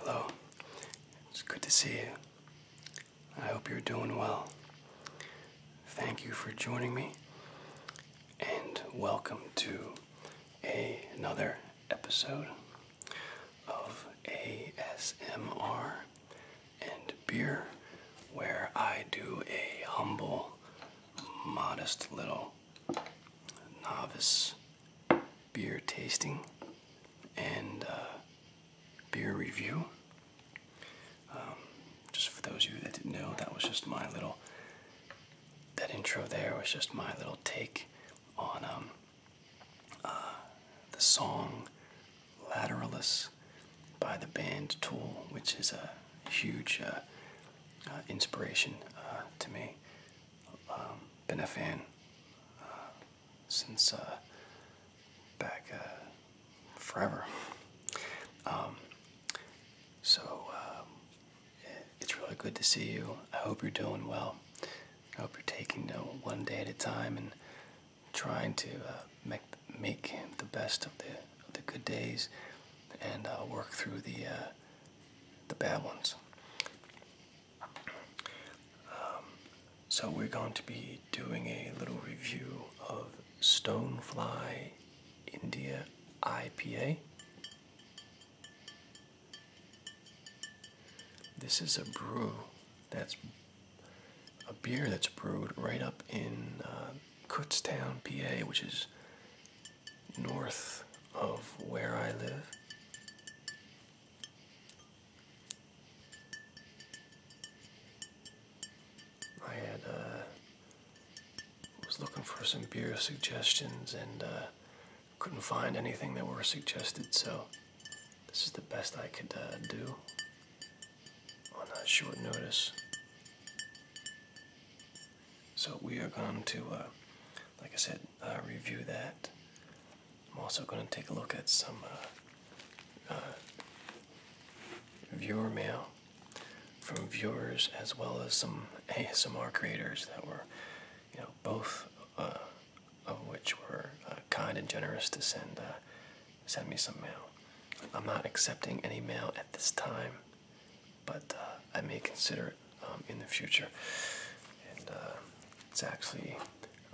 Hello. It's good to see you. I hope you're doing well. Thank you for joining me and welcome to another episode of ASMR and beer, where I do a humble, modest little novice beer tasting and uh, beer review. Um, just for those of you that didn't know, that was just my little, that intro there was just my little take on um, uh, the song Lateralis by the band Tool, which is a huge uh, uh, inspiration to me. Um, been a fan since back forever. Um, so, um, it's really good to see you. I hope you're doing well. I hope you're taking one day at a time and trying to uh, make make the best of the the good days and uh, work through the uh, the bad ones. Um, so we're going to be doing a little review of Stonefly India IPA. This is a brew that's a beer that's brewed right up in uh, Kutztown, PA, which is north of where I live. I had uh, was looking for some beer suggestions and uh, couldn't find anything that were suggested, so this is the best I could uh, do on a short notice. So we are going to, uh, like I said, uh, review that. I'm also going to take a look at some viewer mail from viewers as well as some ASMR creators that were you know, both uh, of which were uh, kind and generous to send uh, send me some mail. I'm not accepting any mail at this time, but I may consider it um, in the future. it's actually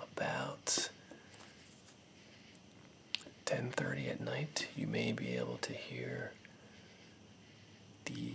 about 10:30 at night. You may be able to hear the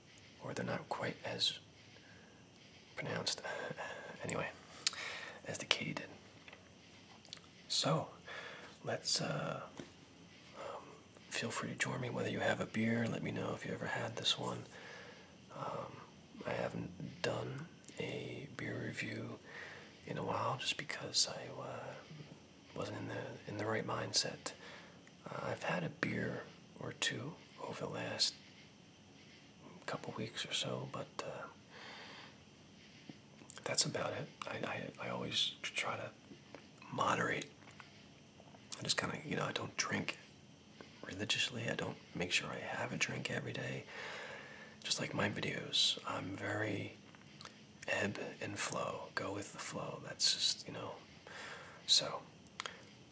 or they're not quite as pronounced, anyway, as the Katy did. So, let's uh, um, feel free to join me. Whether you have a beer, let me know if you ever had this one. Um, I haven't done a beer review in a while just because I uh, wasn't in the in the right mindset uh, I've had a beer or two over the last couple weeks or so, but uh, that's about it. I, I always try to moderate. I just kind of, you know, I don't drink religiously. I don't make sure I have a drink every day. Just like my videos, I'm very ebb and flow. Go with the flow. That's just, you know, so,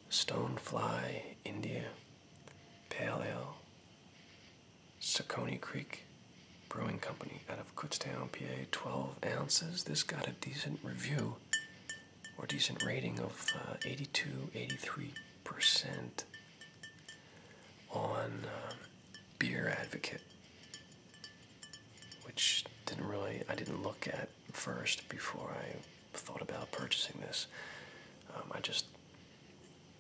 Stonefly, India, Pale Ale, Saucony Creek Brewing Company out of Kutztown, PA, 12 ounces. This got a decent review or decent rating of uh, 82, 83% on uh, Beer Advocate which didn't really I didn't look at first before I thought about purchasing this. Um, I just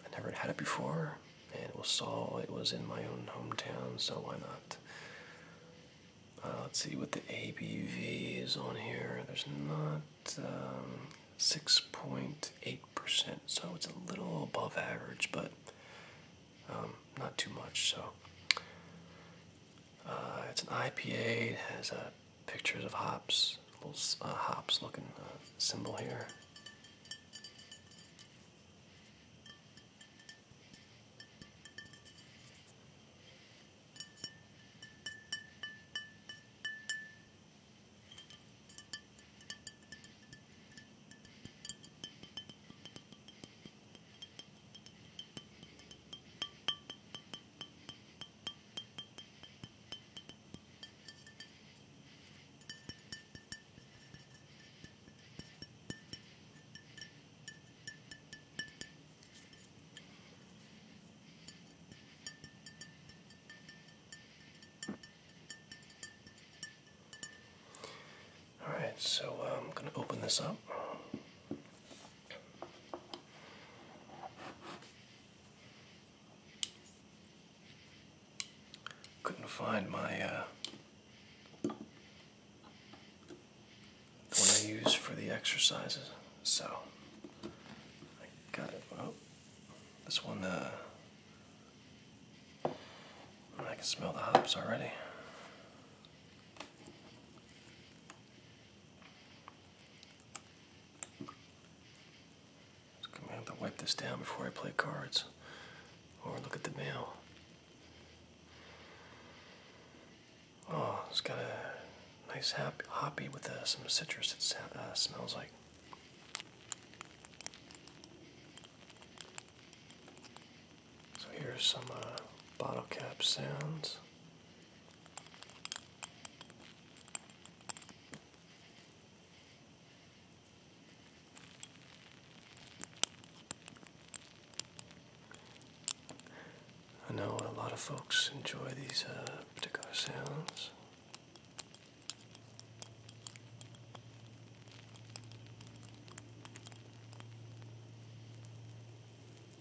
I never had it before, and it was saw it was in my own hometown, so why not? Uh, let's see what the ABV is on here. There's not 6.8%, um, so it's a little above average, but um, not too much. So uh, it's an IPA. It has uh, pictures of hops, little uh, hops looking symbol here. All right, so uh, I'm going to open this up. Couldn't find my one uh, I use for the exercises, so I got it. Oh, this one, uh, I can smell the hops already. I'm gonna have to wipe this down before I play cards or look at the mail. Oh, it's got a nice hop hoppy with uh, some citrus it uh, smells like. So here are some uh, bottle cap sounds. I know a lot of folks enjoy these uh, particular sounds.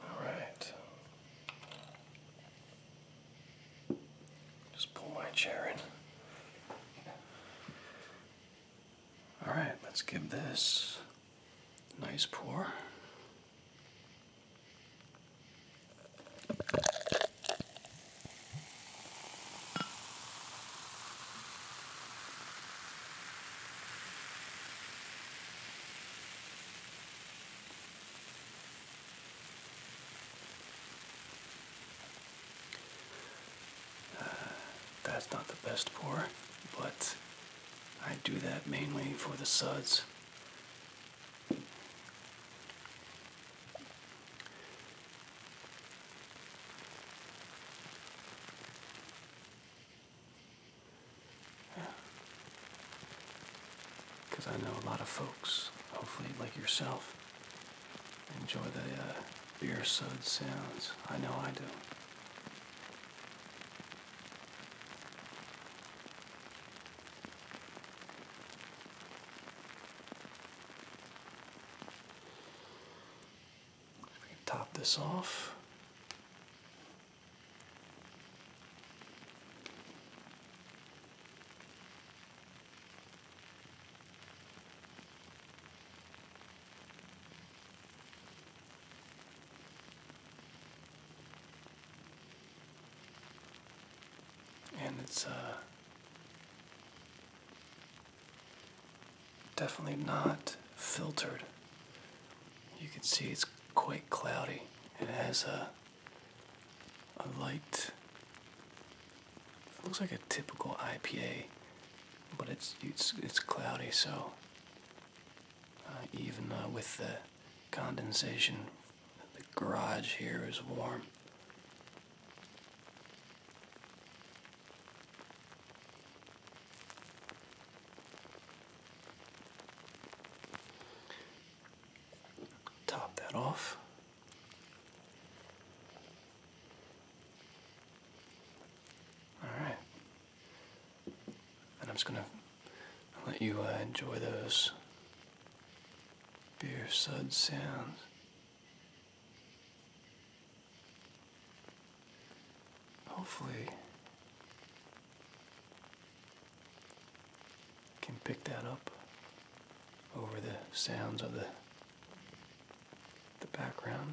All right. Just pull my chair in. All right, let's give this nice pour. Uh, that's not the best pour, but I do that mainly for the suds. Because I know a lot of folks, hopefully like yourself, enjoy the uh, beer sud sounds. I know I do. We can top this off and it's uh, definitely not filtered. You can see it's quite cloudy. It has a, a light, looks like a typical IPA, but it's, it's, it's cloudy, so uh, even uh, with the condensation the garage here is warm. Top that off. All right. And I'm just going to let you uh, enjoy those beer sud sounds. Hopefully, can pick that up over the sounds of the the background.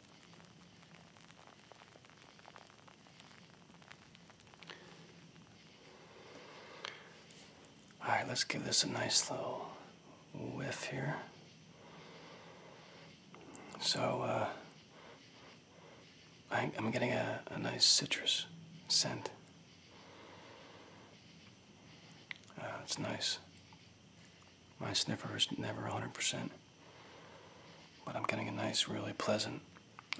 All right, let's give this a nice little whiff here. So uh, I, am getting a, nice citrus scent. Uh, it's nice. My sniffer is never 100%. But I'm getting a nice, really pleasant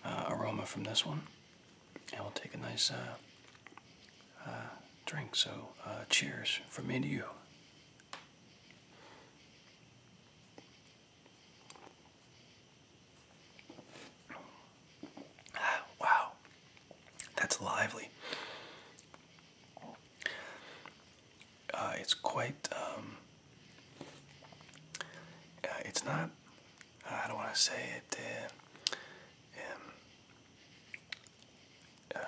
uh, aroma from this one. And we'll take a nice uh, uh, drink. So, cheers from me to you. Ah, wow, that's lively. Uh, it's quite um, uh, it's not uh, I don't want to say it um, um,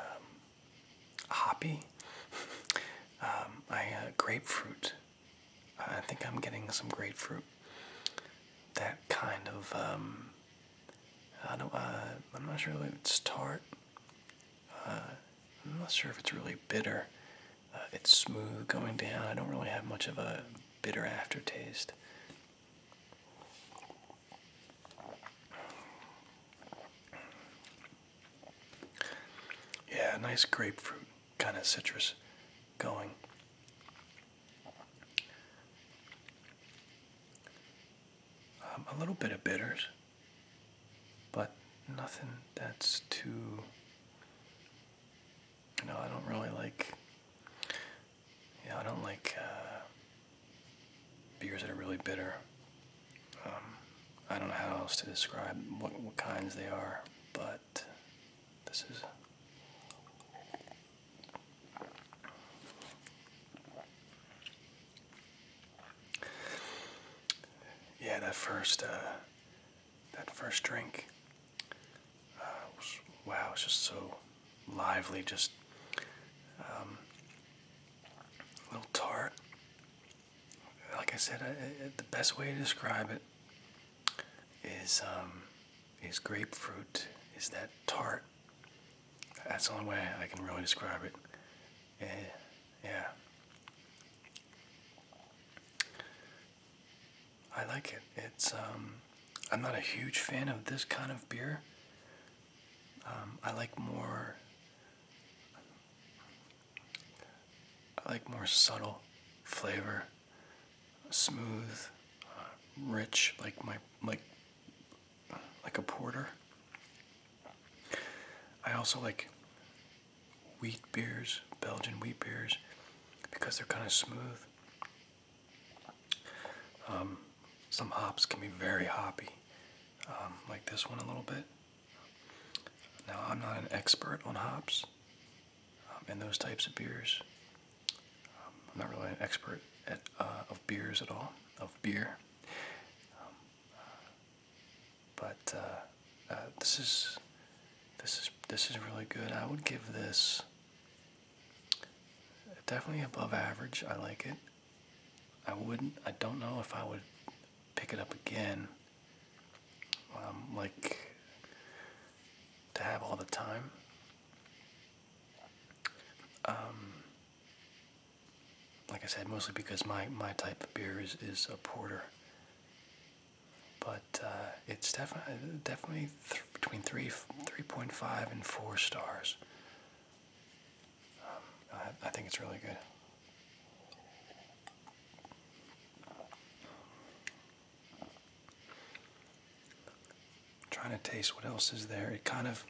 hoppy um, I grapefruit I think I'm getting some grapefruit that kind of I don't uh, I'm not sure if it's tart I'm not sure if it's really bitter. Uh, it's smooth going down. I don't really have much of a bitter aftertaste. Yeah, nice grapefruit kind of citrus going. Um, a little bit of bitters, but nothing that's too no, I don't really like. Yeah, I don't like uh, beers that are really bitter. Um, I don't know how else to describe what, what kinds they are, but this is. Yeah, that first uh, that first drink. Uh, it was, wow, it's just so lively, just um, a little tart. Like I said, the best way to describe it is um, is grapefruit. Is that tart? That's the only way I can really describe it. Eh, yeah. I like it. It's um, I'm not a huge fan of this kind of beer. Um, I like more. I like more subtle flavor, smooth, uh, rich, like my like like a porter. I also like wheat beers, Belgian wheat beers, because they're kind of smooth. Um, some hops can be very hoppy, um, like this one a little bit. Now, I'm not an expert on hops and um, those types of beers. I'm not really an expert uh, of beers at all, of beer but uh, uh, this is this is this is really good. I would give this definitely above average. I like it. I wouldn't. I don't know if I would pick it up again. Um, like to have all the time. Um, like I said, mostly because my, my type of beer is, is a porter but uh, it's definitely definitely between three three point five and four stars. Um, I, think it's really good. Trying to taste what else is there. It kind of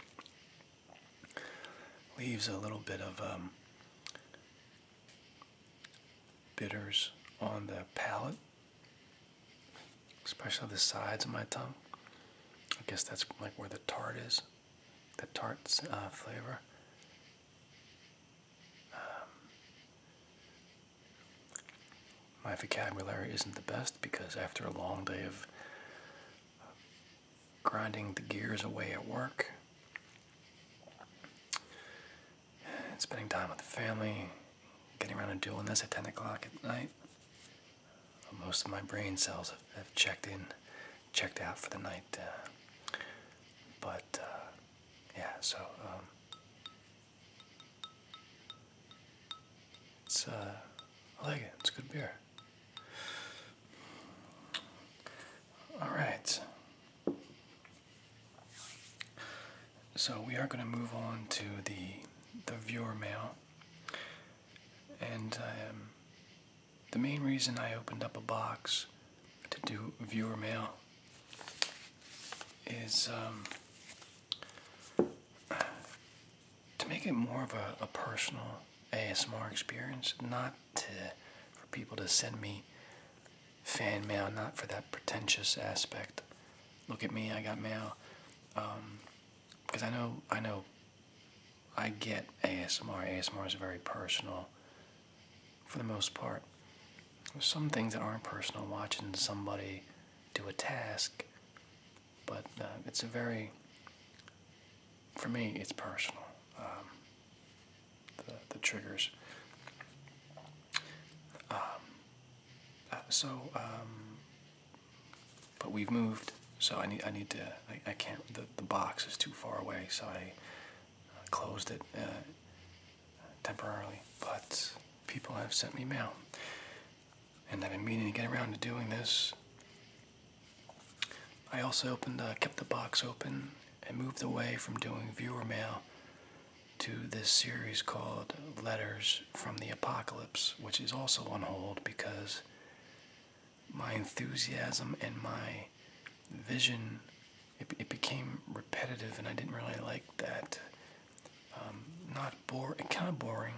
leaves a little bit of um, bitters on the palate, especially the sides of my tongue. I guess that's like where the tart is, the tart uh, flavor. Um, my vocabulary isn't the best because after a long day of grinding the gears away at work, spending time with the family, getting around to doing this at 10 o'clock at night. Most of my brain cells have, checked in, checked out for the night. Uh, but, uh, yeah, so, um, it's, uh, I like it. It's good beer. All right. So we are going to move on to the the viewer mail, and um, the main reason I opened up a box to do viewer mail is um, to make it more of a, personal ASMR experience, not for people to send me fan mail, not for that pretentious aspect. Look at me, I got mail. Because um, I know, I know, I get ASMR. ASMR is very personal, for the most part. There's some things that aren't personal. Watching somebody do a task, but uh, it's a very, for me, it's personal. Um, the, triggers. Um, uh, so, um, but we've moved, so I need I need to I, can't the the box is too far away, so I uh, closed it uh, temporarily. But people have sent me mail, and I've been meaning to get around to doing this. I also opened kept the box open and moved away from doing viewer mail to this series called Letters from the Apocalypse, which is also on hold because my enthusiasm and my vision it, became repetitive and I didn't really like that. Um, not bore, kind of boring,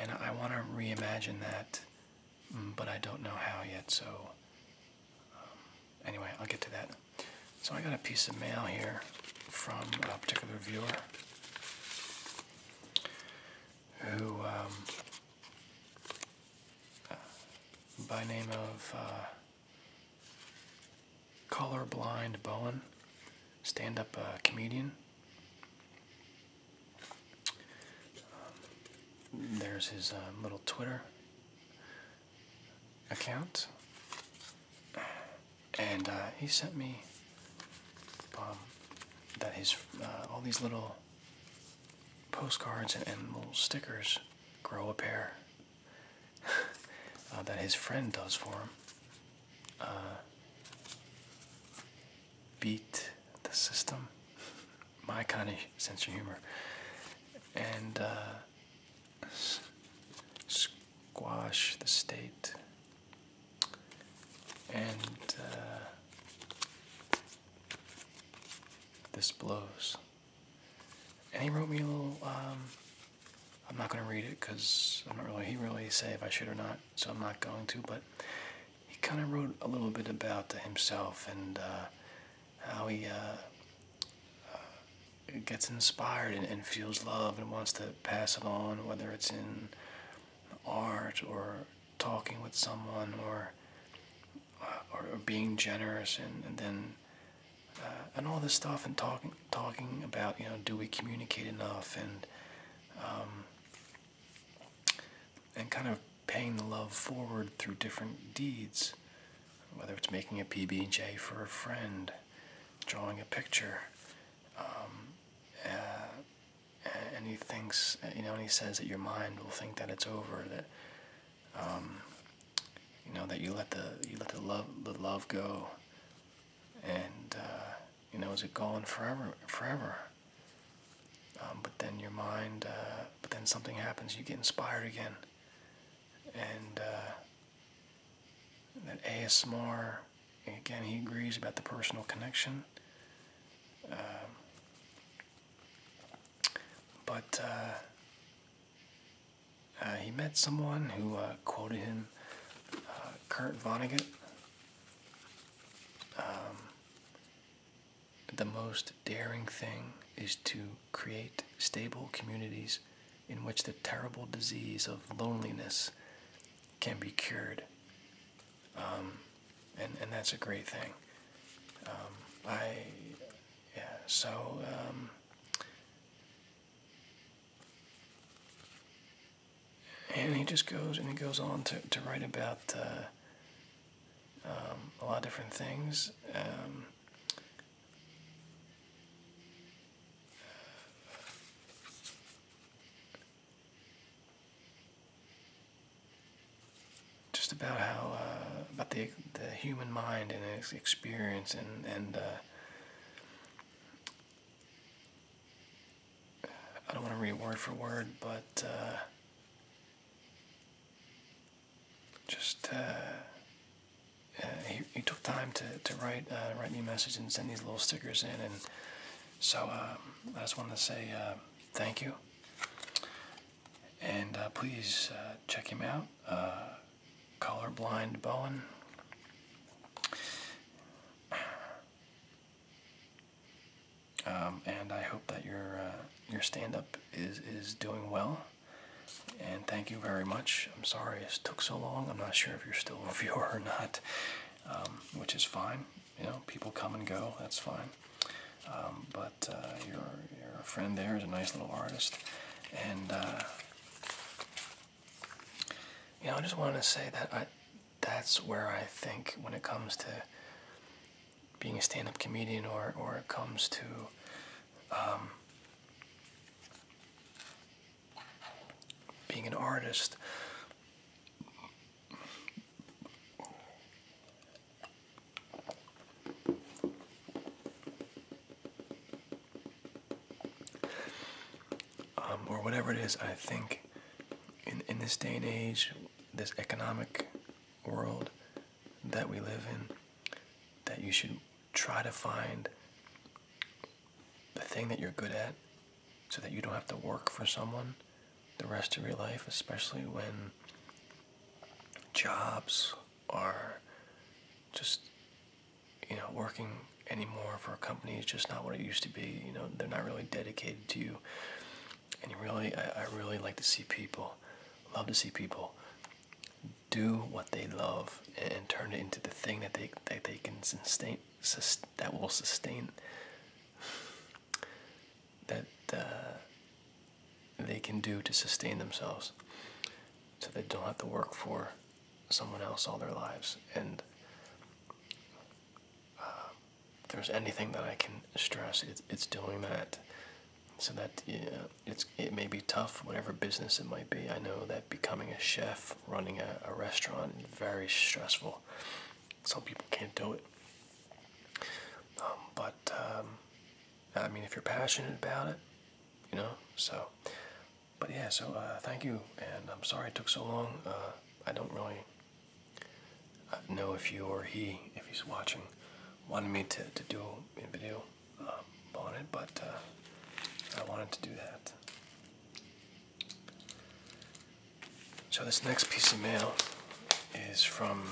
and I want to reimagine that, mm, but I don't know how yet. So um, anyway, I'll get to that. So I got a piece of mail here from a particular viewer who, um, uh, by name of uh, Colorblind Bowen, stand-up uh, comedian. Um, there's his uh, little Twitter account, and uh, he sent me um, that his uh, all these little postcards and, little stickers grow a pair uh, that his friend does for him. beat the system, my kind of sense of humor, and squash the state and uh, this blows and he wrote me a little um, i'm not going to read it because i'm not really he really say if i should or not so i'm not going to but he kind of wrote a little bit about himself and uh, how he uh, gets inspired and, and feels love and wants to pass it on, whether it's in art or talking with someone or uh, or, being generous and, and then uh, and all this stuff and talking talking about you know do we communicate enough and um, and kind of paying the love forward through different deeds whether it's making a PB&J for a friend, drawing a picture, um, uh, and he you know, and he says that your mind will think that it's over, that, um, you know, that you let the you let the love the love go, and uh, you know, is it gone forever? Forever. Um, but then your mind, uh, but then something happens, you get inspired again, and. Uh, that ASMR, again, he agrees about the personal connection. Um, but uh, uh, he met someone who uh, quoted him, Kurt Vonnegut, um, the most daring thing is to create stable communities in which the terrible disease of loneliness can be cured. Um, and, and that's a great thing. Um, I, yeah, so, um, and he just goes and he goes on to, to write about uh, a lot of different things just about how uh, about the the human mind and its experience and and uh, I don't want to read word for word, but uh, just uh, uh, he, took time to, to write uh, write me messages and send these little stickers in, and so um, I just wanted to say uh, thank you. And please check him out, Colorblind Bowen. Um, and I hope that your your stand-up is is doing well. And thank you very much. I'm sorry it took so long. I'm not sure if you're still a viewer or not, um, which is fine. You know, people come and go. That's fine. Um, but uh, your your friend there is a nice little artist, and uh, you know, I just wanted to say that that's where I think when it comes to being a stand-up comedian or or it comes to um, being an artist um, or whatever it is, I think in, in this day and age, this economic world that we live in, that you should try to find the thing that you're good at so that you don't have to work for someone the rest of your life, especially when jobs are just, you know, working anymore for a company is just not what it used to be. You know, they're not really dedicated to you. And you really, I, really like to see people, love to see people do what they love and turn it into the thing that they that they can sustain that will sustain that uh, they can do to sustain themselves so they don't have to work for someone else all their lives and uh, if there's anything that I can stress, it's, it's doing that so that you it's it may be tough, whatever business it might be. I know that becoming a chef, running a, a restaurant, is very stressful. Some people can't do it. Um, but um, I mean, if you're passionate about it, you know. So, but yeah. So uh, thank you, and I'm sorry it took so long. Uh, I don't really uh, know if you or he, if he's watching, wanted me to to do a video um, on it, but uh, I wanted to do that. So, this next piece of mail is from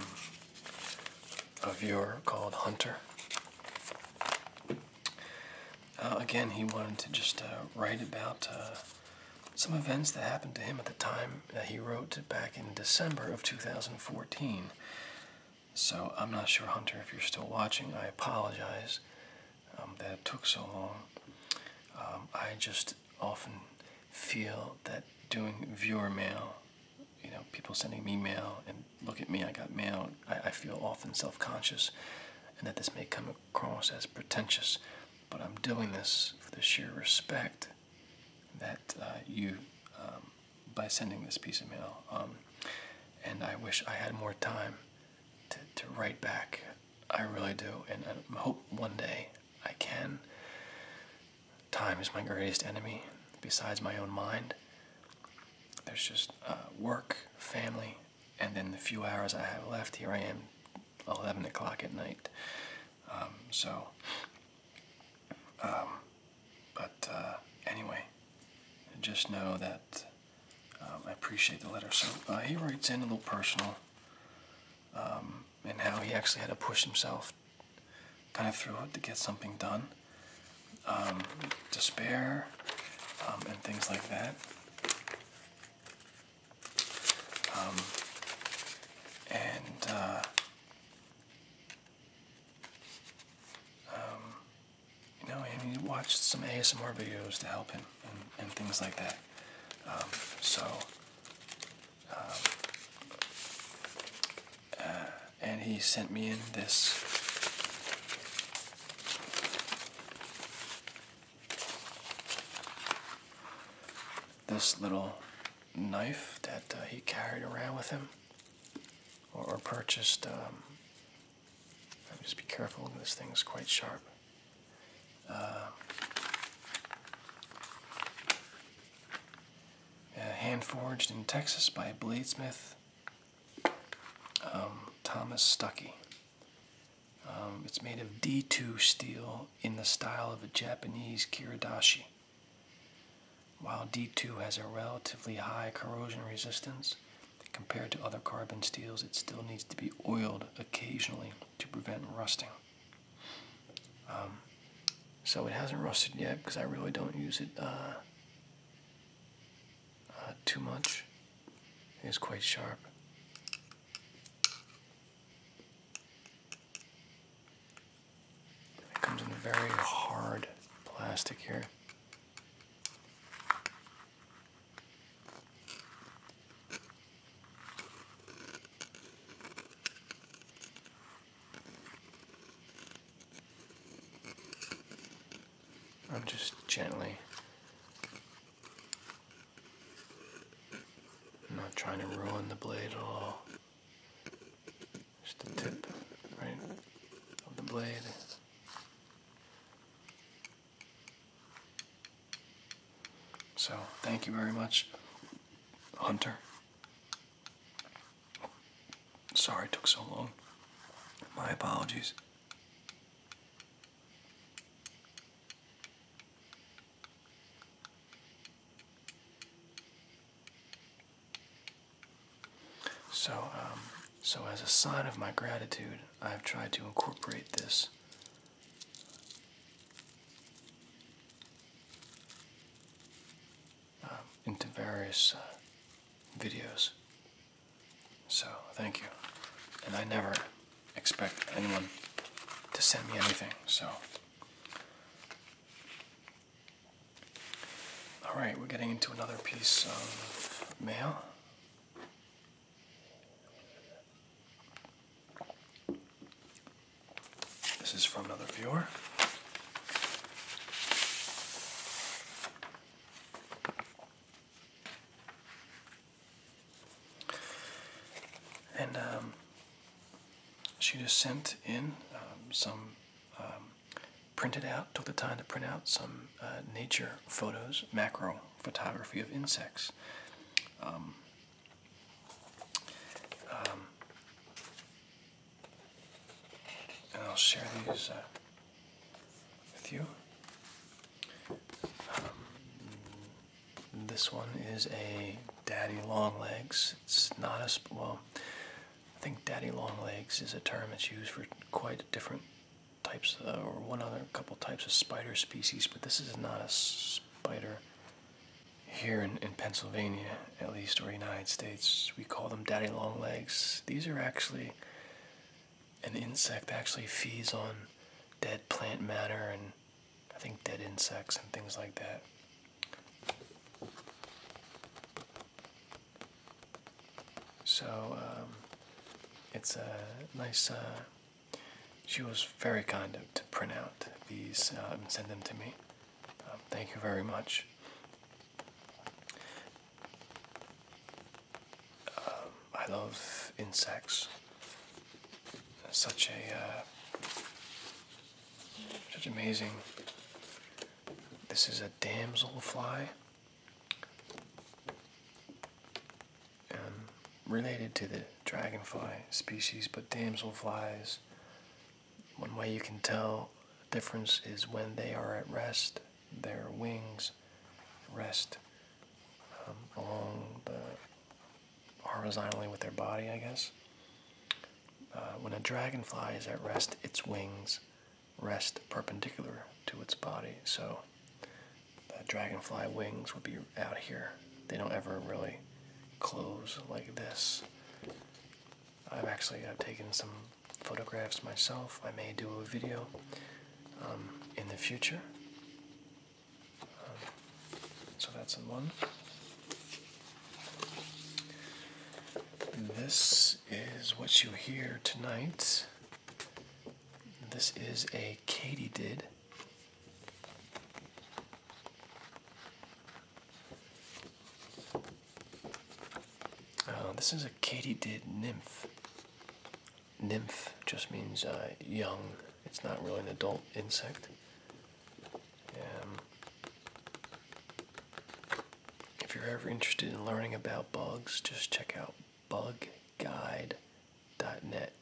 a viewer called Hunter. Uh, again, he wanted to just uh, write about some events that happened to him at the time that he wrote back in December of 2014. So I'm not sure, Hunter, if you're still watching. I apologize um, that it took so long. Um, I just often feel that doing viewer mail, you know, people sending me mail and look at me, I got mail, I, I feel often self-conscious and that this may come across as pretentious, but I'm doing this for the sheer respect that uh, you, um, by sending this piece of mail, and I wish I had more time to, to write back. I really do, and I hope one day I can. Time is my greatest enemy, besides my own mind. There's just uh, work, family, and then the few hours I have left. Here I am, 11 o'clock at night. Um, so, um, but uh, anyway, just know that um, I appreciate the letter. So uh, he writes in a little personal um, and how he actually had to push himself kind of through to get something done. Um, despair and things like that. and uh, you know, and he watched some ASMR videos to help him and, things like that. Um, so, um, uh, and he sent me in this. This little knife that uh, he carried around with him, or, purchased um, just be careful, this thing is quite sharp. Uh, uh, hand forged in Texas by bladesmith um, Thomas Stuckey. Um, it's made of D2 steel in the style of a Japanese kiridashi. While D2 has a relatively high corrosion resistance, Compared to other carbon steels, it still needs to be oiled occasionally to prevent rusting. Um, so it hasn't rusted yet because I really don't use it uh, uh, too much. It's quite sharp. It comes in a very hard plastic here. I'm just gently I'm not trying to ruin the blade at all just the tip right of the blade so, thank you very much, Hunter. Sorry it took so long. My apologies. So, um, so, as a sign of my gratitude, I've tried to incorporate this um, into various uh, videos. So, thank you. And I never expect anyone to send me anything, so. Alright, we're getting into another piece of mail. This is from another viewer. And um, she just sent in um, some um, printed out, took the time to print out some uh, nature photos, macro photography of insects. Um, um, and I'll share these uh, with you. Um, this one is a daddy long legs. It's not as well. I think daddy long legs is a term that's used for quite a different types uh, or one other couple types of spider species, but this is not a spider here in, in Pennsylvania, at least, or United States. We call them daddy long legs. These are actually an insect that actually feeds on dead plant matter and I think dead insects and things like that. So um, it's a uh, nice. Uh, she was very kind of to print out these uh, and send them to me. Um, thank you very much. Um, I love insects. Such a such amazing. This is a damsel fly um, related to the dragonfly species, but damselflies. One way you can tell the difference is when they are at rest, their wings rest um, along the horizontally with their body, I guess. Uh, when a dragonfly is at rest, its wings rest perpendicular to its body. So the dragonfly wings would be out here. They don't ever really close like this. I've actually I've taken some photographs myself. I may do a video um, in the future. Um, so that's in one. This is what you hear tonight this is a katydid. Uh, this is a katydid nymph. Nymph just means uh, young. It's not really an adult insect. Um, if you're ever interested in learning about bugs, just check out bugguide.net.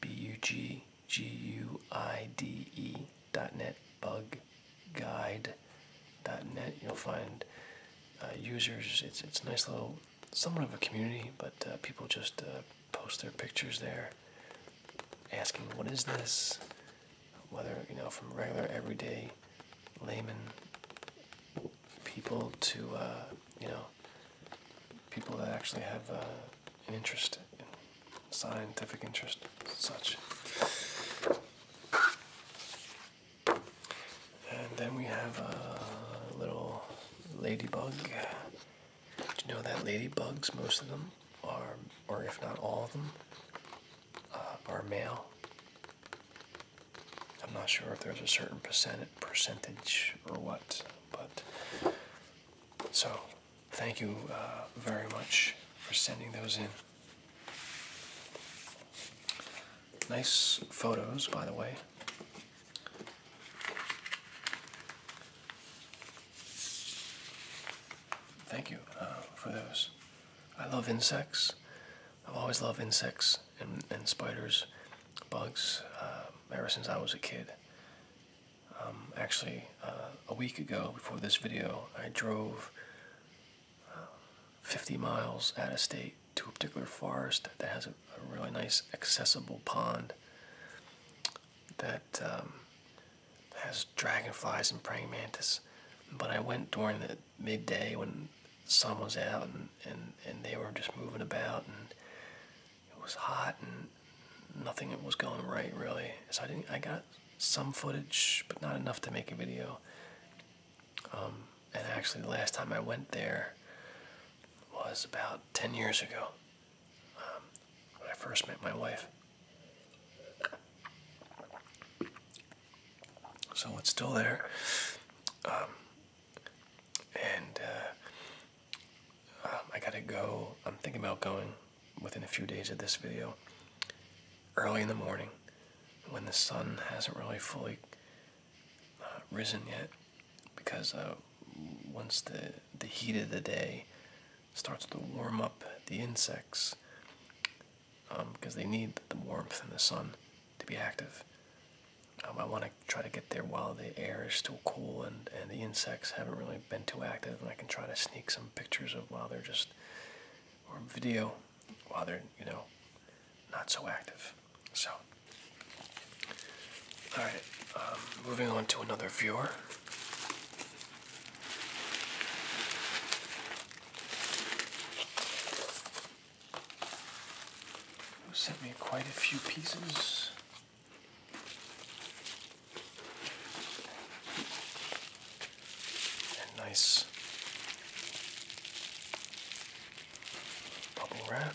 B U G G U I D E.net. Bugguide.net. You'll find uh, users. It's it's a nice little, somewhat of a community, but uh, people just uh, post their pictures there, asking what is this, whether you know from regular everyday layman people to uh, you know people that actually have uh, an interest in scientific interest such. And then we have a little ladybug. Did you know that ladybugs, most of them are, or if not all of them, uh, are male. I'm not sure if there's a certain percent percentage or what, but so thank you uh, very much for sending those in. Nice photos, by the way. Thank you uh, for those. I love insects. I've always loved insects and, spiders, bugs, uh, ever since I was a kid. Um, actually, uh, a week ago, before this video, I drove uh, 50 miles out of state to a particular forest that has a, really nice accessible pond that um, has dragonflies and praying mantis. But I went during the midday when the sun was out and, and, and they were just moving about and it was hot and nothing was going right really. So I I got some footage but not enough to make a video. Um, and actually the last time I went there was about 10 years ago um, when I first met my wife. So it's still there. Um, and uh, um, I gotta go. I'm thinking about going within a few days of this video, early in the morning, when the sun hasn't really fully uh, risen yet, because uh, once the the heat of the day starts to warm up the insects, because um, they need the warmth and the sun to be active. Um, I want to try to get there while the air is still cool and, and the insects haven't really been too active, and I can try to sneak some pictures of while they're just, or video while they're, you know, not so active. So, alright, um, moving on to another viewer. Who sent me quite a few pieces. nice bubble wrap.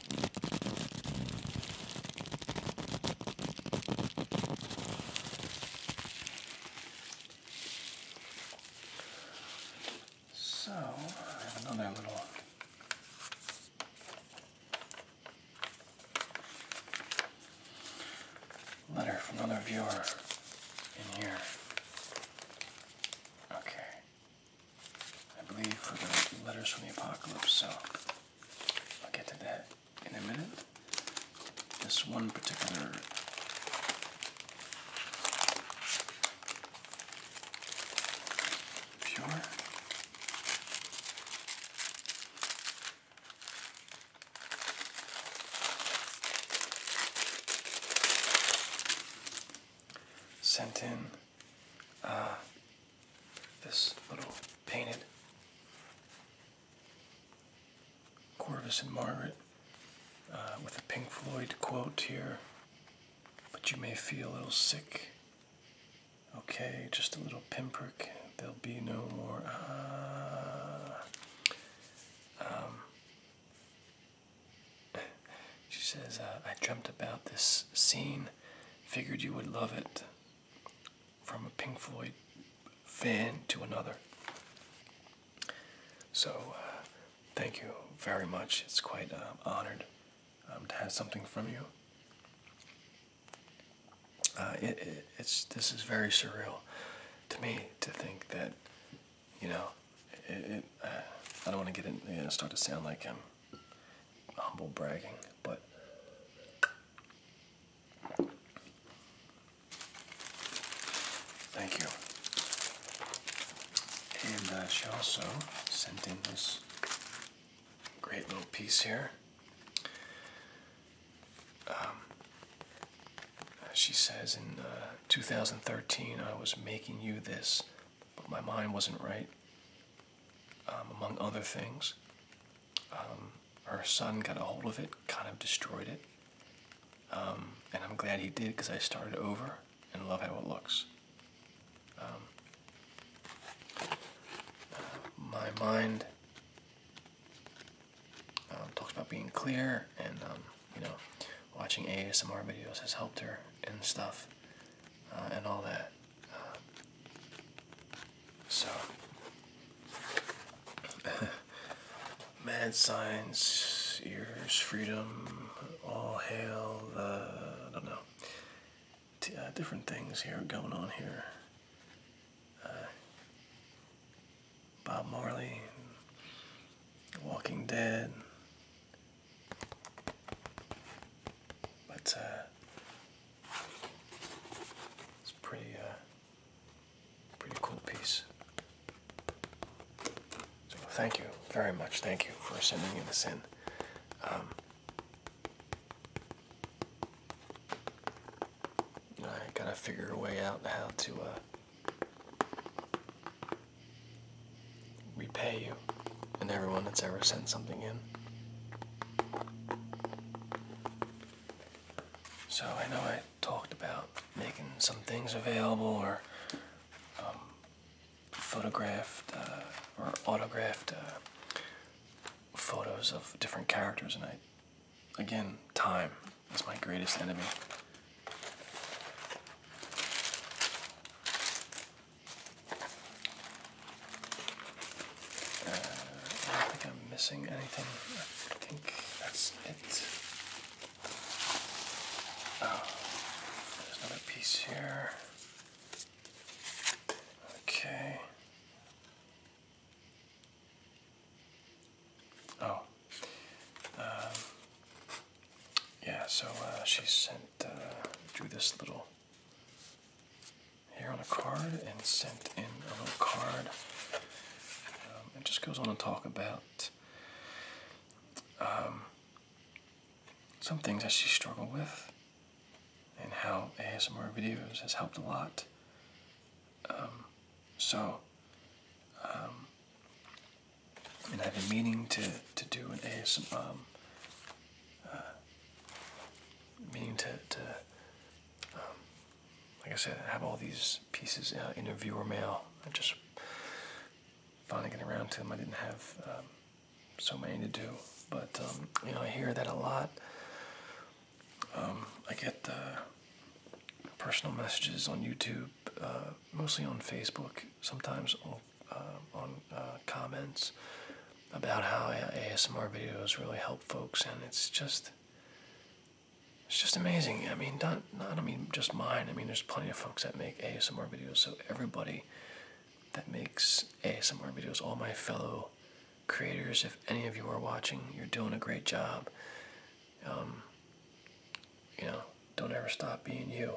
So, I have another little letter from another viewer in here. Okay. I believe, for the letters from the apocalypse. So I'll get to that in a minute. This one particular pure. Sent in uh, this little painted Corvus and Margaret uh, with a Pink Floyd quote here. But you may feel a little sick. Okay, just a little pinprick. There'll be no more. Uh, um, she says, uh, I dreamt about this scene Figured you would love it. From a Pink Floyd fan to another. So, uh, thank you very much. It's quite uh, honored um, to have something from you. Uh, it's this is very surreal to me to think that you know uh, I don't want to get in you start to sound like i humble bragging, but thank you. And she also sent in this great little piece here. Um, she says, in uh, 2013, I was making you this, but my mind wasn't right. Um, among other things. her um, son got a hold of it, kind of destroyed it. Um, and I'm glad he did because I started over and love how it looks. Uh, my mind talks about being clear and, you know, watching ASMR videos has helped her and stuff. Uh, and all that. Uh, so, mad science, ears, freedom, all hail the, I don't know, uh, different things here going on here. Bob Marley, Walking Dead. But it's pretty, uh, pretty cool piece. So thank you very much. Thank you for sending me this in. Um, I gotta figure a way out how to uh, repay you and everyone that's ever sent something in. So I know I talked about making some things available or um, photographed uh, or autographed uh, photos of different characters, and I, again, time is my greatest enemy. Uh, I don't think I'm missing anything. I think that's it. Oh, there's another piece here. Okay. Oh. Um, yeah, so uh, she sent, uh, drew this little here on a card and sent in a little card. Um, it just goes on to talk about um, some things that she struggled with and how ASMR videos has helped a lot. Um, so, and I've been meaning to, to do an ASMR, uh, meaning to, to um, like I said, have all these pieces uh, in a viewer mail. I am just finally getting around to them. I didn't have um, so many to do, but um, you know I hear that a lot. I get the uh, personal messages on YouTube, mostly on Facebook, sometimes on, on comments about how ASMR videos really help folks, and it's just it's just amazing. I mean, not I mean just mine. I mean, there's plenty of folks that make ASMR videos. So everybody that makes ASMR videos, all my fellow creators, if any of you are watching, you're doing a great job. Um, you know, don't ever stop being you.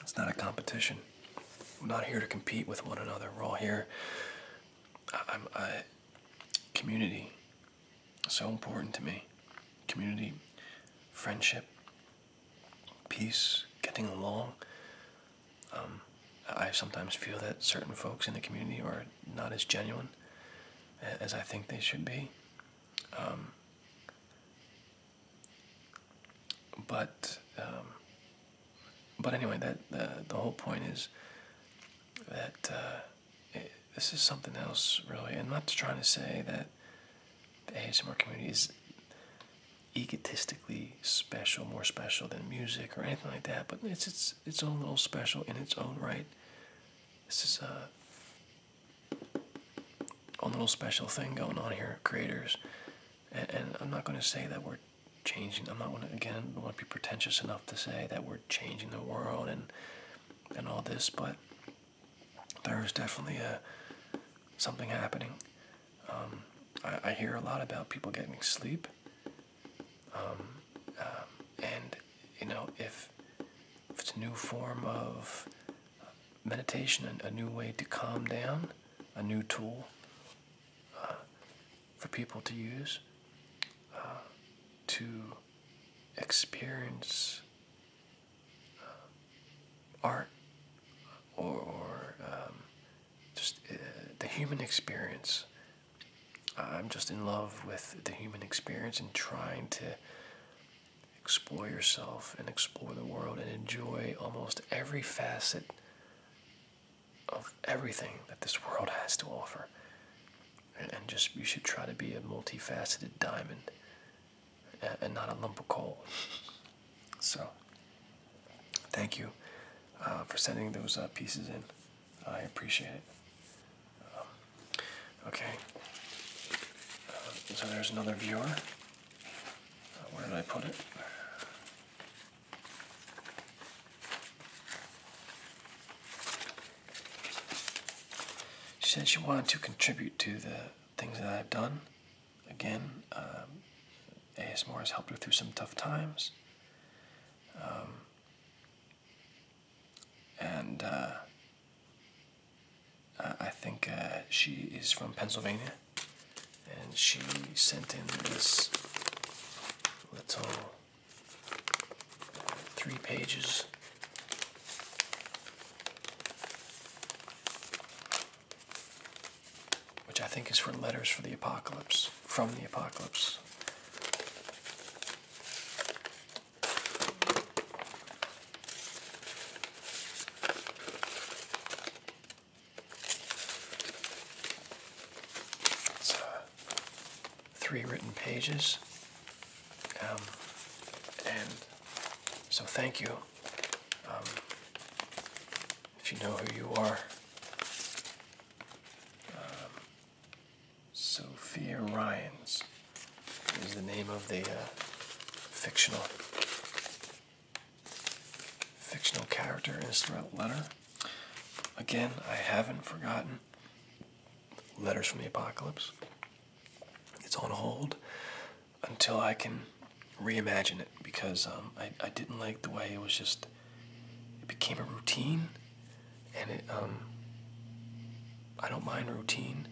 It's not a competition. We're not here to compete with one another. We're all here. I, am I, community. So important to me. Community, friendship, peace, getting along. Um, I sometimes feel that certain folks in the community are not as genuine as I think they should be. Um, but um, but anyway, that uh, the whole point is that uh, this is something else, really. I'm not trying to say that the ASMR community is egotistically special, more special than music or anything like that. But it's its its own little special in its own right. This is uh, a own little special thing going on here, creators and, I'm not going to say that we're changing. I'm not gonna, again. I want to be pretentious enough to say that we're changing the world and and all this, but there's definitely a something happening. Um, I, hear a lot about people getting sleep, um, uh, and you know if it's a new form of meditation, a new way to calm down, a new tool uh, for people to use uh, to experience uh, art or, um, just the human experience. I'm just in love with the human experience and trying to explore yourself and explore the world and enjoy almost every facet of everything that this world has to offer. And, just, you should try to be a multifaceted diamond and, not a lump of coal. So, thank you uh, for sending those uh, pieces in. I appreciate it. Um, okay. Uh, so, there's another viewer. Uh, where did I put it? She said she wanted to contribute to the things that I've done. Again, um, AS ASMR has helped her through some tough times. Um, and uh, I think uh, she is from Pennsylvania and she sent in this little uh, three pages which I think is for letters for the apocalypse, from the apocalypse. Uh, three written pages. Um, and so thank you. Um, if you know who you are, um, Sophia Ryans is the name of the uh, fictional fictional character is throughout letter. Again, I haven't forgotten Letters from the Apocalypse. It's on hold until I can reimagine it because um, I, I didn't like the way it was just, it became a routine and it, um, I don't mind routine,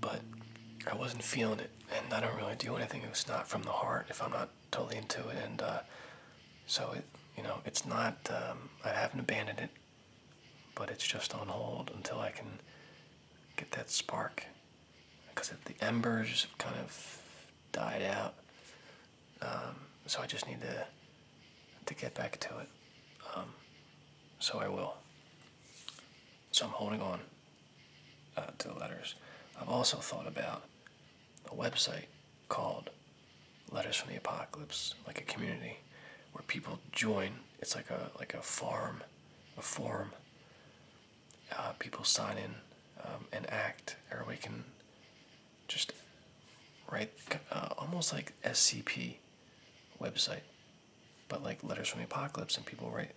but I wasn't feeling it and I don't really do anything that's not from the heart if I'm not totally into it, and uh, so it, you know, it's not. Um, I haven't abandoned it, but it's just on hold until I can get that spark, because the embers have kind of died out. Um, so I just need to to get back to it. Um, so I will. So I'm holding on uh, to the letters. I've also thought about a website called Letters from the Apocalypse, like a community where people join. It's like a like a farm, a forum. Uh, people sign in um, and act. Everybody can just write uh, almost like SCP website, but like Letters from the Apocalypse, and people write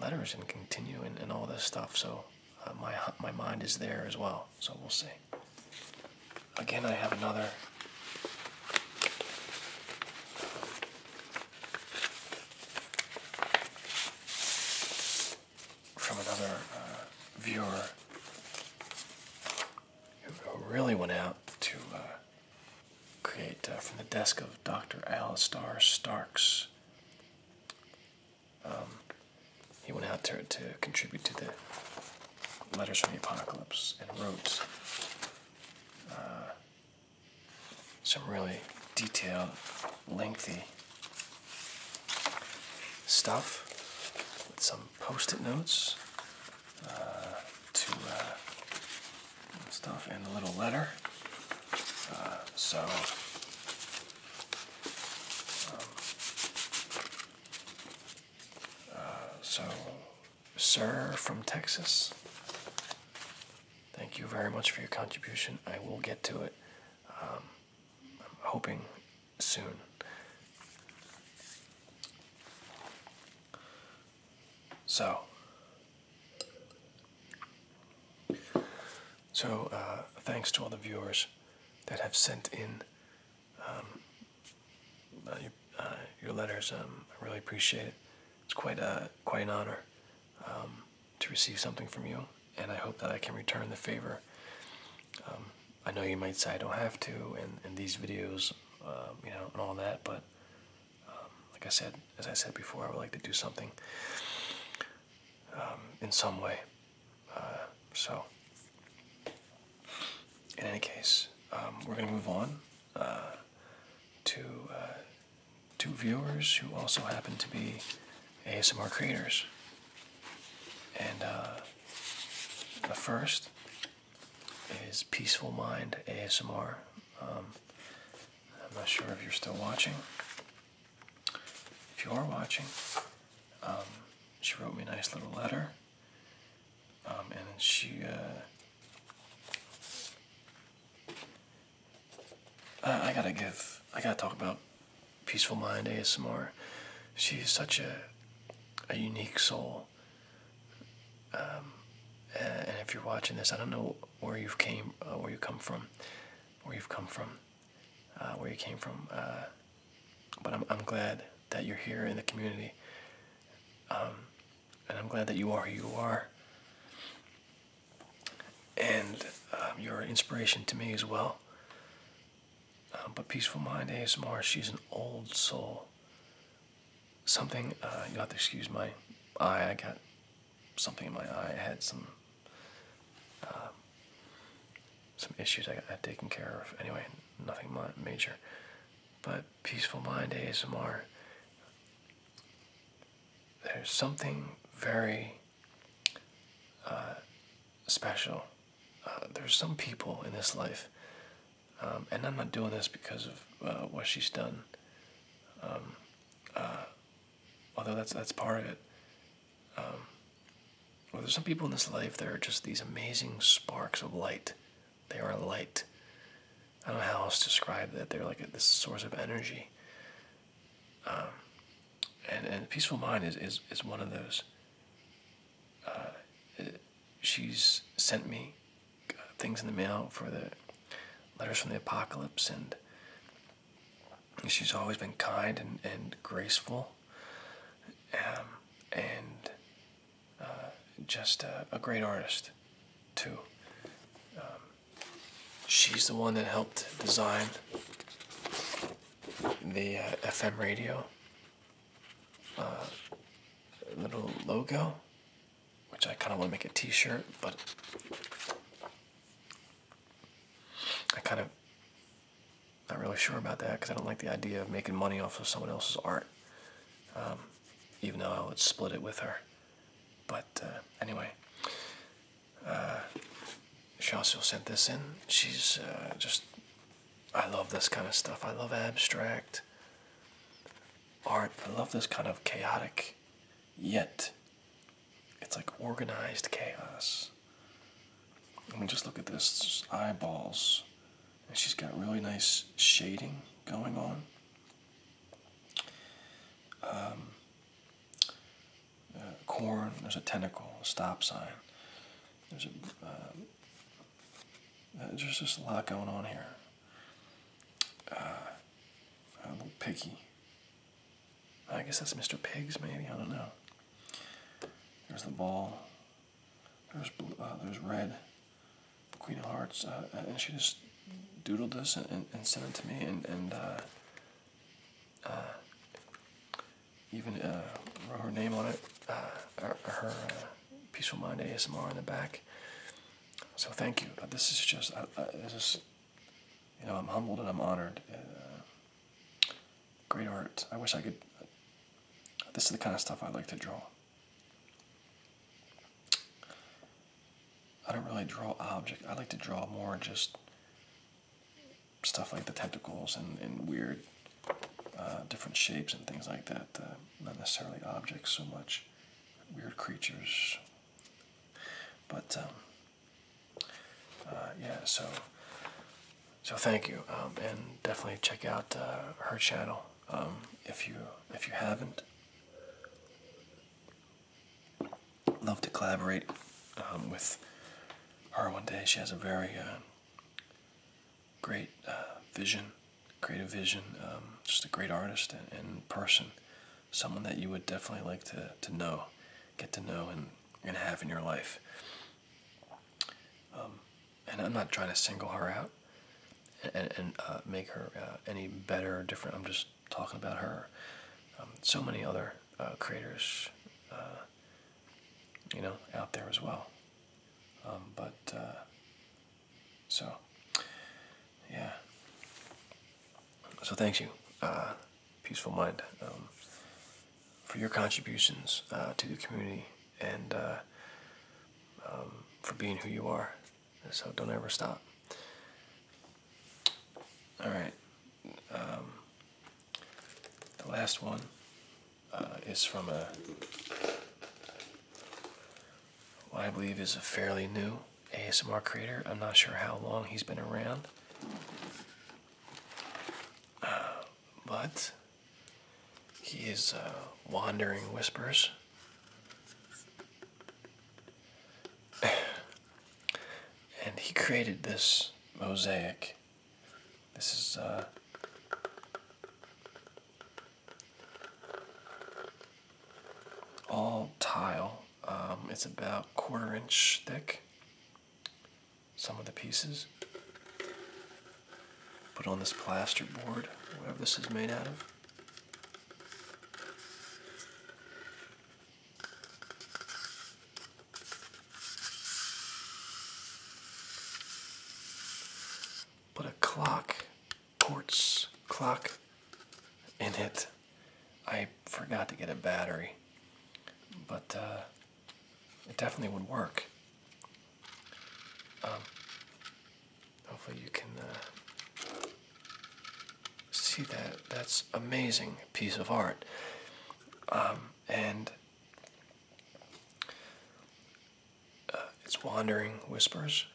letters and continue and, all this stuff. So uh, my my mind is there as well. So we'll see. Again, I have another. From another uh, viewer who really went out to uh, create from the desk of Dr. Alistair Starks um, he went out there to contribute to the letters from the apocalypse and wrote uh, some really detailed, lengthy stuff with some post-it notes uh, to uh, stuff and a little letter uh, so, um, uh, so, sir from Texas, thank you very much for your contribution. I will get to it. Um, I'm hoping soon. So, so, uh, thanks to all the viewers that have sent in um, uh, uh, your, letters. Um, I really appreciate it. It's quite a quite an honor um, to receive something from you, and I hope that I can return the favor. I know you might say I don't have to, and, and these videos, you know, and all that, but like I said, as I said before, I would like to do something um, in some way. Uh, so, in any case, um, we're going to move on uh, to uh, viewers who also happen to be ASMR creators. And uh, the first is Peaceful Mind ASMR. Um, I'm not sure if you're still watching if you are watching, um, she wrote me a nice little letter, um, and she uh, I, gotta give I gotta talk about Peaceful Mind ASMR. She is such a a unique soul. Um, and if you're watching this, I don't know where you've came, uh, where you come from where you've come from, uh, where you came from. Uh, but I'm, I'm glad that you're here in the community. Um, and I'm glad that you are who you are. And um, you're inspiration to me as well. Um, but Peaceful Mind ASMR, she's an old soul. Something, uh, you to excuse my eye, I got something in my eye. I had some uh, some issues I had taken care of. Anyway, nothing major. But Peaceful Mind ASMR, there's something very uh, special. Uh, there's some people in this life, um, and I'm not doing this because of what she's done. Um, although that's that's part of it. Um, well, there's some people in this life that are just these amazing sparks of light. They are light. I don't know how else to describe that. They're like this source of energy. Um, and and peaceful mind is is, is one of those. Uh, she's sent me uh, things in the mail for the letters from the apocalypse and she's always been kind and, and graceful um, and uh, just a, great artist too um, she's the one that helped design the uh, fm radio uh, little logo which i kind of want to make a t-shirt but I kind of not really sure about that because I don't like the idea of making money off of someone else's art, um, even though I would split it with her. But uh, anyway, uh, Shasu sent this in. She's uh, just, I love this kind of stuff. I love abstract art. I love this kind of chaotic, yet it's like organized chaos. I mean, just look at this eyeballs. she's got really nice shading going on. Um, uh, corn, there's a tentacle, a stop sign. There's a. Um, uh, there's just a lot going on here. Uh, a little picky. I guess that's Mr. Pigs, maybe. I don't know. There's the ball. There's blue, uh, there's red. Queen of Hearts, uh, uh, and she just doodled this and, sent it to me, and and even wrote her name on it, her, her Peaceful Mind ASMR in the back. So thank you. This is just this you know, I'm humbled and I'm honored. Uh, great art. I wish I could. This is the kind of stuff I like to draw. I don't really draw objects. I like to draw more just stuff like the tentacles and, and weird uh, different shapes and things like that. Uh, not necessarily objects so much, weird creatures. But um, uh, yeah, so so thank you, um, and definitely check out uh, her channel um, if you if you haven't. Love to collaborate um, with her one day. She has a very uh, great vision, creative vision. just a great artist and, and person, someone that you would definitely like to to know get to know and, and have in your life. Um, and I'm not trying to single her out and, and uh, make her uh, any better or different. I'm just talking about her. Um, so many other uh, creators, you know, out there as well. Um, but so, yeah. So thanks you. Peaceful Mind um, for your contributions uh, to the community and uh, um, for being who you are. So don't ever stop. All right. Um, the last one uh, is from a I believe is a fairly new ASMR creator. I'm not sure how long he's been around, uh, but he is uh, wandering whispers. and he created this mosaic. This is uh, all tile um, it's about quarter inch thick. Some of the pieces. Put on this plaster board, whatever this is made out of. Put a clock, quartz clock in it. I forgot to get a battery, but uh, it definitely would work. Um, hopefully you can uh, see that. That's amazing piece of art. Um, and uh, it's Wandering Whispers.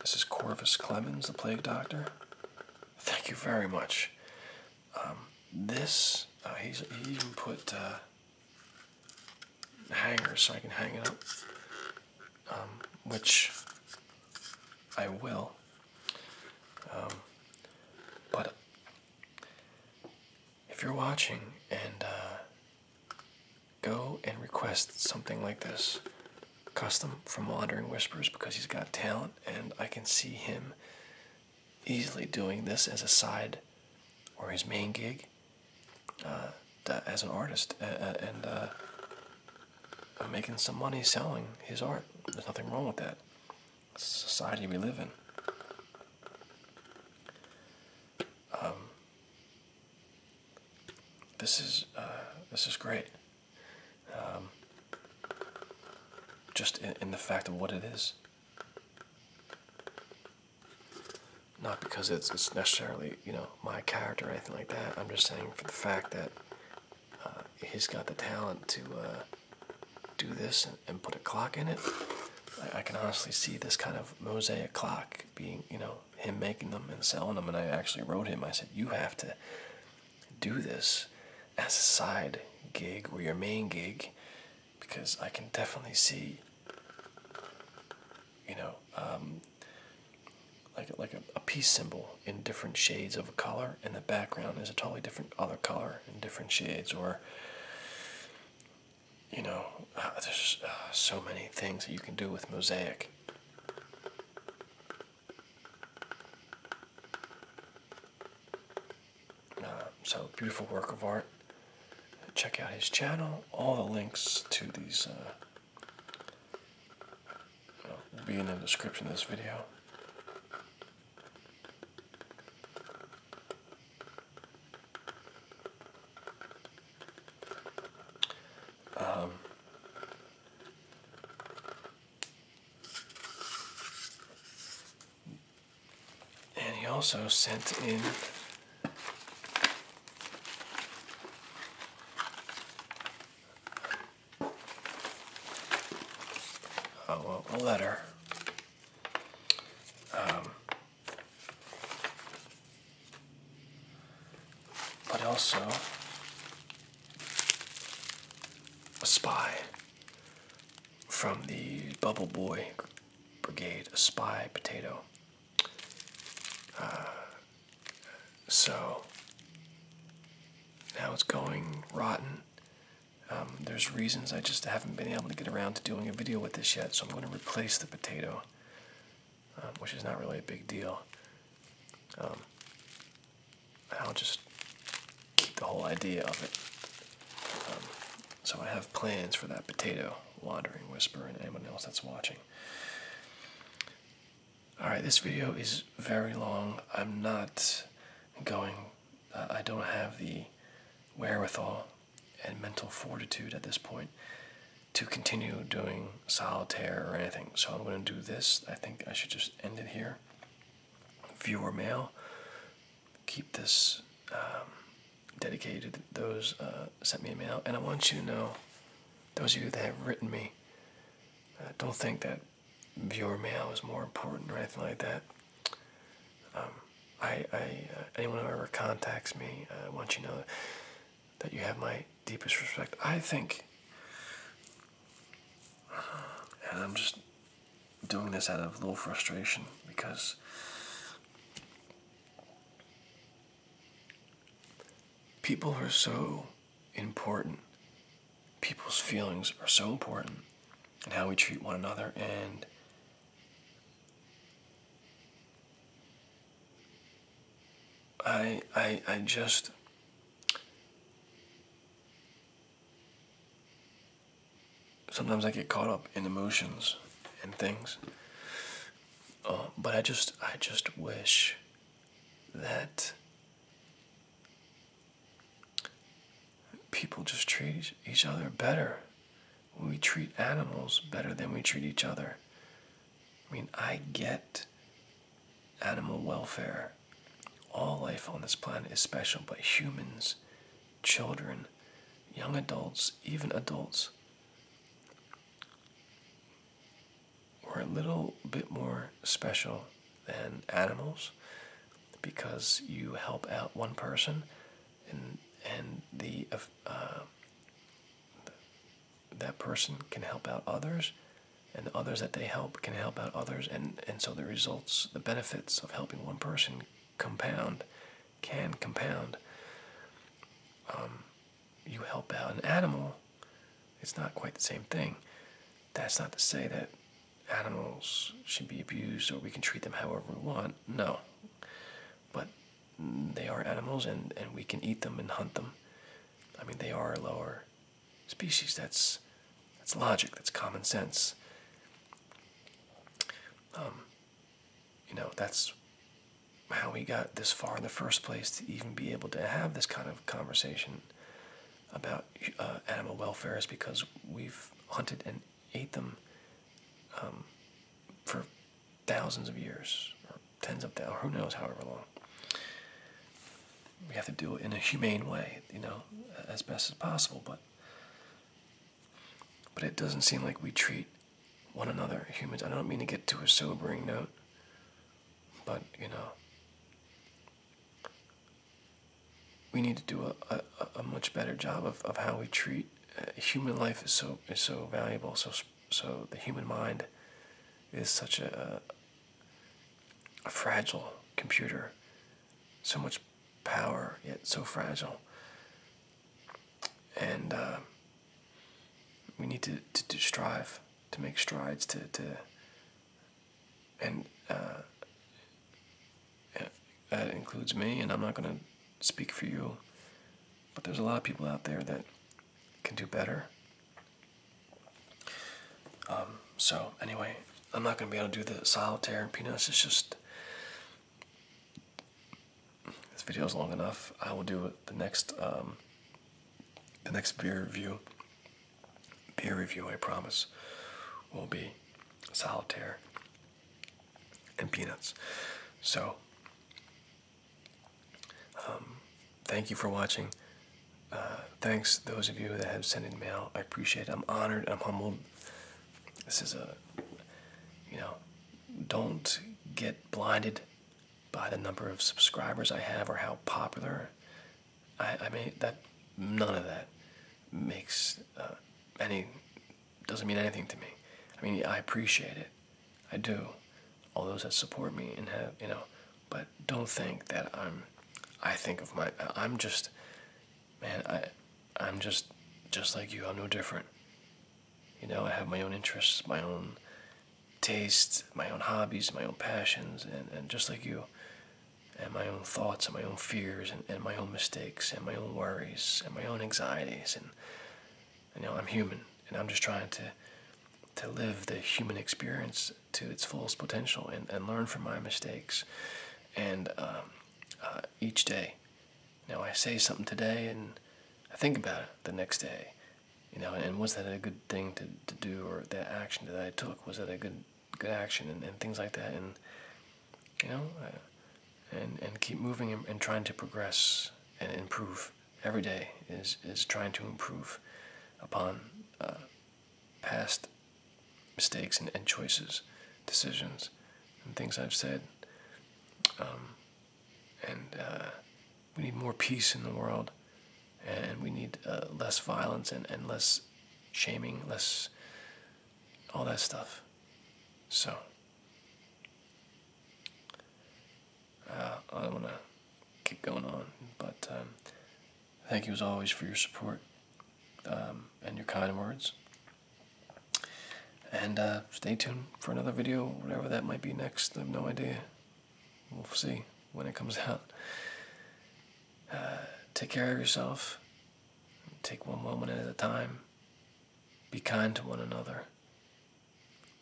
This is Corvus Clemens, the plague doctor. Thank you very much. Um, this, uh, he's, he even put uh, hangers so I can hang it up, um, which I will. Um, but if you're watching and uh, go and request something like this, Custom from Wandering Whispers because he's got talent, and I can see him easily doing this as a side or his main gig uh, as an artist and uh, making some money selling his art. There's nothing wrong with that. society we live in. Um, this is uh, this is great. Um, just in, the fact of what it is. Not because it's, necessarily, you know, my character or anything like that. I'm just saying for the fact that uh, he's got the talent to uh, do this and, put a clock in it. I, can honestly see this kind of mosaic clock being, you know, him making them and selling them. And I actually wrote him, I said, you have to do this as a side gig or your main gig because I can definitely see you know um, like a, like a, peace symbol in different shades of a color and the background is a totally different other color in different shades or you know uh, there's uh, so many things that you can do with mosaic uh, so beautiful work of art. Check out his channel. All the links to these uh, will be in the description of this video. Um, and he also sent in a letter. Um, but also a spy from the Bubble Boy Brigade, a spy potato. Uh, so now it's going rotten. Um, there's reasons I just haven't been able to get around to doing a video with this yet, so I'm going to replace the potato, um, which is not really a big deal. Um, I'll just keep the whole idea of it. Um, so I have plans for that potato, wandering whisper, and anyone else that's watching. Alright, this video is very long. I'm not going, uh, I don't have the wherewithal and mental fortitude at this point to continue doing solitaire or anything. So I'm going to do this. I think I should just end it here. Viewer mail. Keep this um, dedicated those uh, sent me a mail. And I want you to know, those of you that have written me, uh, don't think that viewer mail is more important or anything like that. Um, I, I uh, anyone who ever contacts me, I want you to know that you have my deepest respect. I think and I'm just doing this out of a little frustration because people are so important. People's feelings are so important and how we treat one another and I I I just sometimes I get caught up in emotions and things. Uh, but I just, I just wish that people just treat each other better. We treat animals better than we treat each other. I mean, I get animal welfare. All life on this planet is special, but humans, children, young adults, even adults, are a little bit more special than animals because you help out one person and and the uh, that person can help out others and the others that they help can help out others and and so the results the benefits of helping one person compound can compound um, you help out an animal it's not quite the same thing that's not to say that animals should be abused or we can treat them however we want no but they are animals and, and we can eat them and hunt them i mean they are lower species. That's that's logic. That's common sense. Um, you know, that's how we got this far in the first place to even be able to have this kind of conversation about uh, animal welfare is because we've hunted and ate them um, for thousands of years or tens of thousands, who knows, however long we have to do it in a humane way, you know, as best as possible. But but it doesn't seem like we treat one another humans. I don't mean to get to a sobering note, but you know, we need to do a, a, much better job of, of how we treat uh, human life. is so is so valuable. So so the human mind is such a a fragile computer, so much power yet so fragile, and uh, we need to, strive to make strides to and uh, that includes me, and I'm not going to speak for you, but there's a lot of people out there that can do better um, so anyway, I'm not gonna be able to do the solitaire and peanuts. It's just this video is long enough. I will do the next um, the next beer review. Beer review, I promise, will be solitaire and peanuts. So um, thank you for watching. Uh, thanks, those of you that have sent in mail. I appreciate it. I'm honored. I'm humbled. This is a, you know, don't get blinded by the number of subscribers I have or how popular. I, I mean, that none of that makes uh, any, doesn't mean anything to me. I mean, I appreciate it. I do. All those that support me and have, you know, but don't think that I'm I think of my I'm just man I I'm just just like you I'm no different you know I have my own interests my own tastes my own hobbies my own passions and, and just like you and my own thoughts and my own fears and, and my own mistakes and my own worries and my own anxieties and you know I'm human and I'm just trying to to live the human experience to its fullest potential and, and learn from my mistakes and um, uh, each day Now i say something today and i think about it the next day you know and, was that a good thing to, to do or that action that i took was that a good good action and, things like that and you know and and keep moving and, trying to progress and improve every day is is trying to improve upon uh, past mistakes and, choices, decisions, and things I've said. Um, and uh, we need more peace in the world, and we need uh, less violence and, less shaming, less all that stuff. So, uh, I don't want to keep going on, but um, Thank you as always for your support um, and your kind words. And uh, stay tuned for another video, whatever that might be next. I have no idea. We'll see when it comes out. Uh, take care of yourself. Take one moment at a time. Be kind to one another.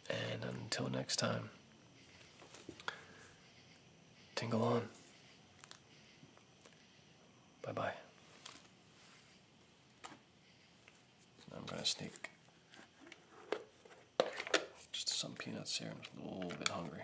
And until next time, tingle on. Bye bye. I'm going to sneak just some peanuts here. I'm a little bit hungry.